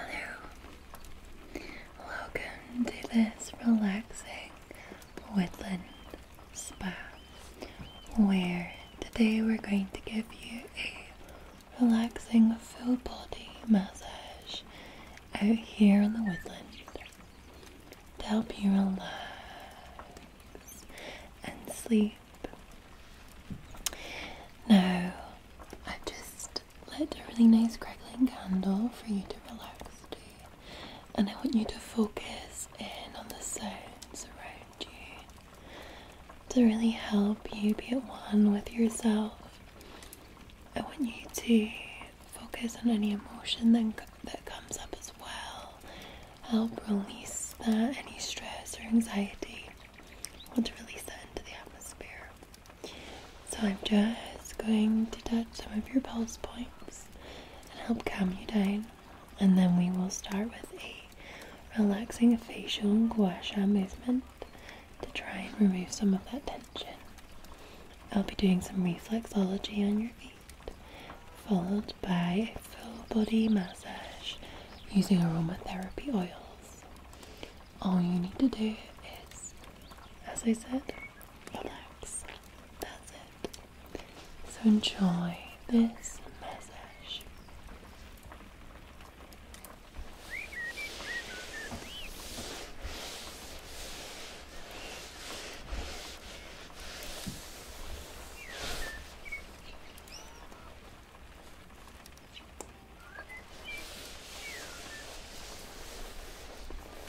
Hello, welcome to this relaxing woodland spa where today we're going to give you a relaxing full body massage out here in the woodland to help you relax and sleep. Now, I've just lit a really nice crackling candle for you to relax to and I want you to focus in on the sounds around you to really help you be at one with yourself. I want you to focus on any emotion that, that comes up as well, help release that, any stress or anxiety. want to release that into the atmosphere. So I'm just going to touch some of your pulse points and help calm you down. And then we will start with a relaxing facial and gua sha movement to try and remove some of that tension. I'll be doing some reflexology on your feet, followed by full body massage using aromatherapy oils. All you need to do is, as I said, relax. That's it. So enjoy this massage.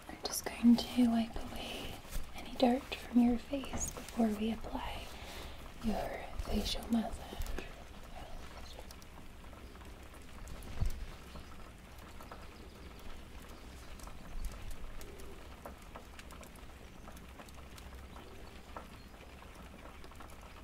I'm just going to wipe away any dirt from your face before we apply your facial massage.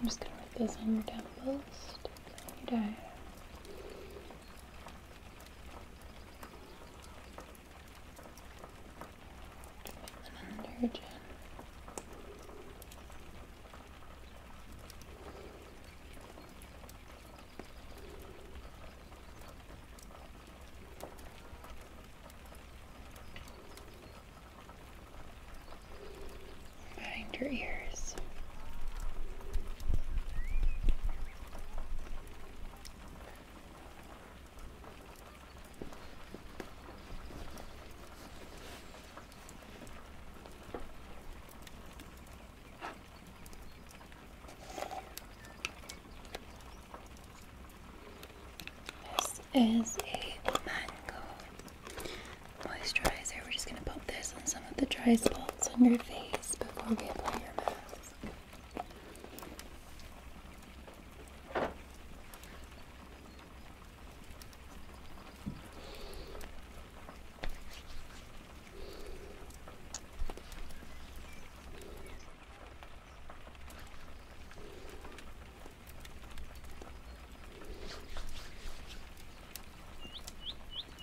I'm just gonna write this on your down post. You die. And under your chin. Behind your ears. This is a mango moisturizer. We're just going to pop this on some of the dry spots on your face face before we play your mask.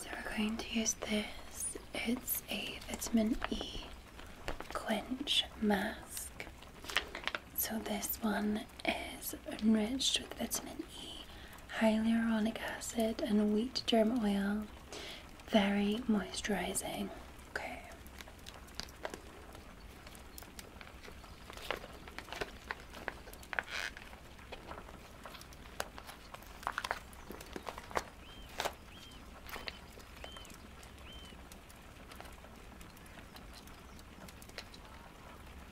So we're going to use this. It's a vitamin E quench mask. So this one is enriched with vitamin E, hyaluronic acid, and wheat germ oil. Very moisturizing. Okay.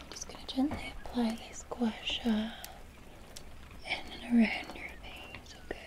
I'm just going to gently apply the gua in and around your face, okay?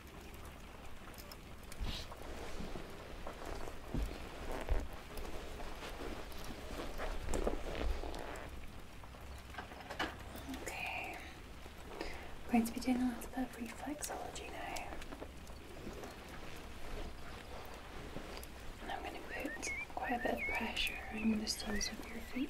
Okay, we're going to be doing a little bit of reflexology now. I'm going to put quite a bit of pressure on the soles of your feet.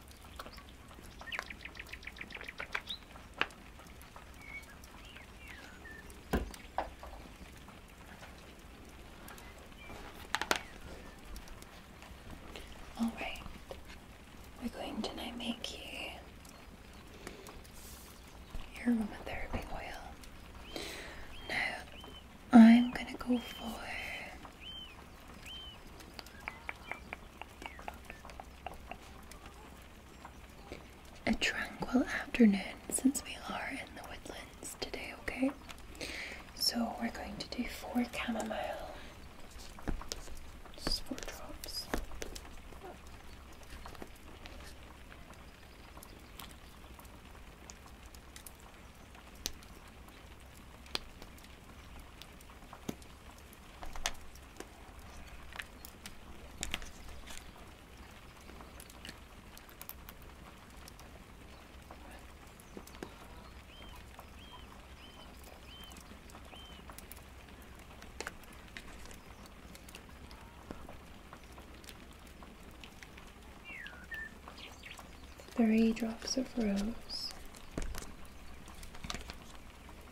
All right, we're going to make you your aromatherapy oil. Now, I'm going to go for a tranquil afternoon since we are in the woodlands today, okay? So we're going to do four chamomile. four drops. Three drops of rose.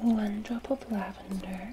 one drop of lavender,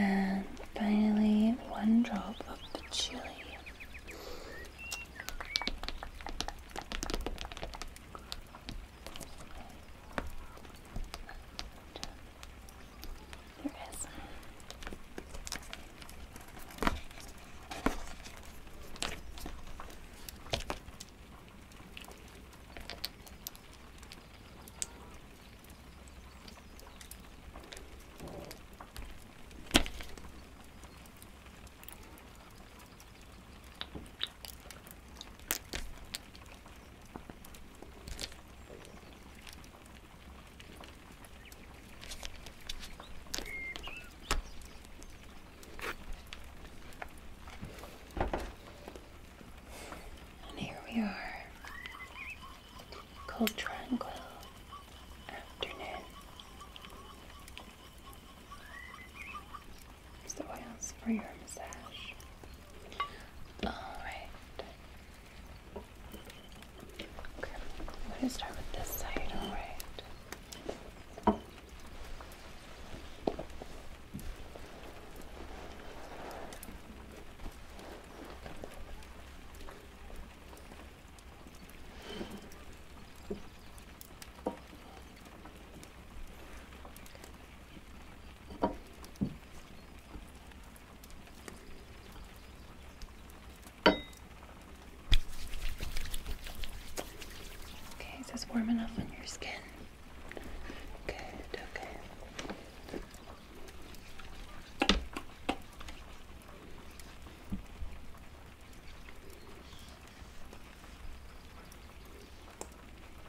And finally, one drop of chili. There is. And here we are, cold, tranquil afternoon. the oils for your massage. Alright, Okay, I'm going to start with this side, alright? Okay. Okay, is this warm enough on your skin? Good, okay.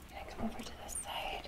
I'm gonna come over to this side.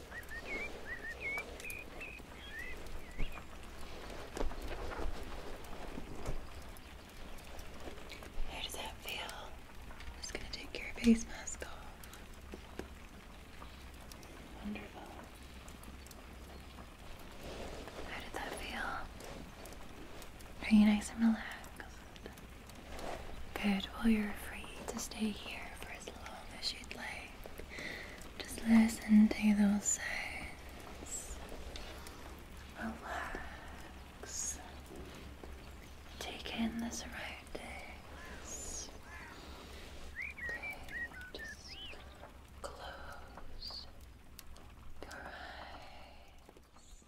How does that feel? just going to take your face mask off. Wonderful. How did that feel? Are you nice and relaxed? Good. Well, you're free to stay here for as just listen to those sounds. Relax. Take in the surroundings. just close your eyes.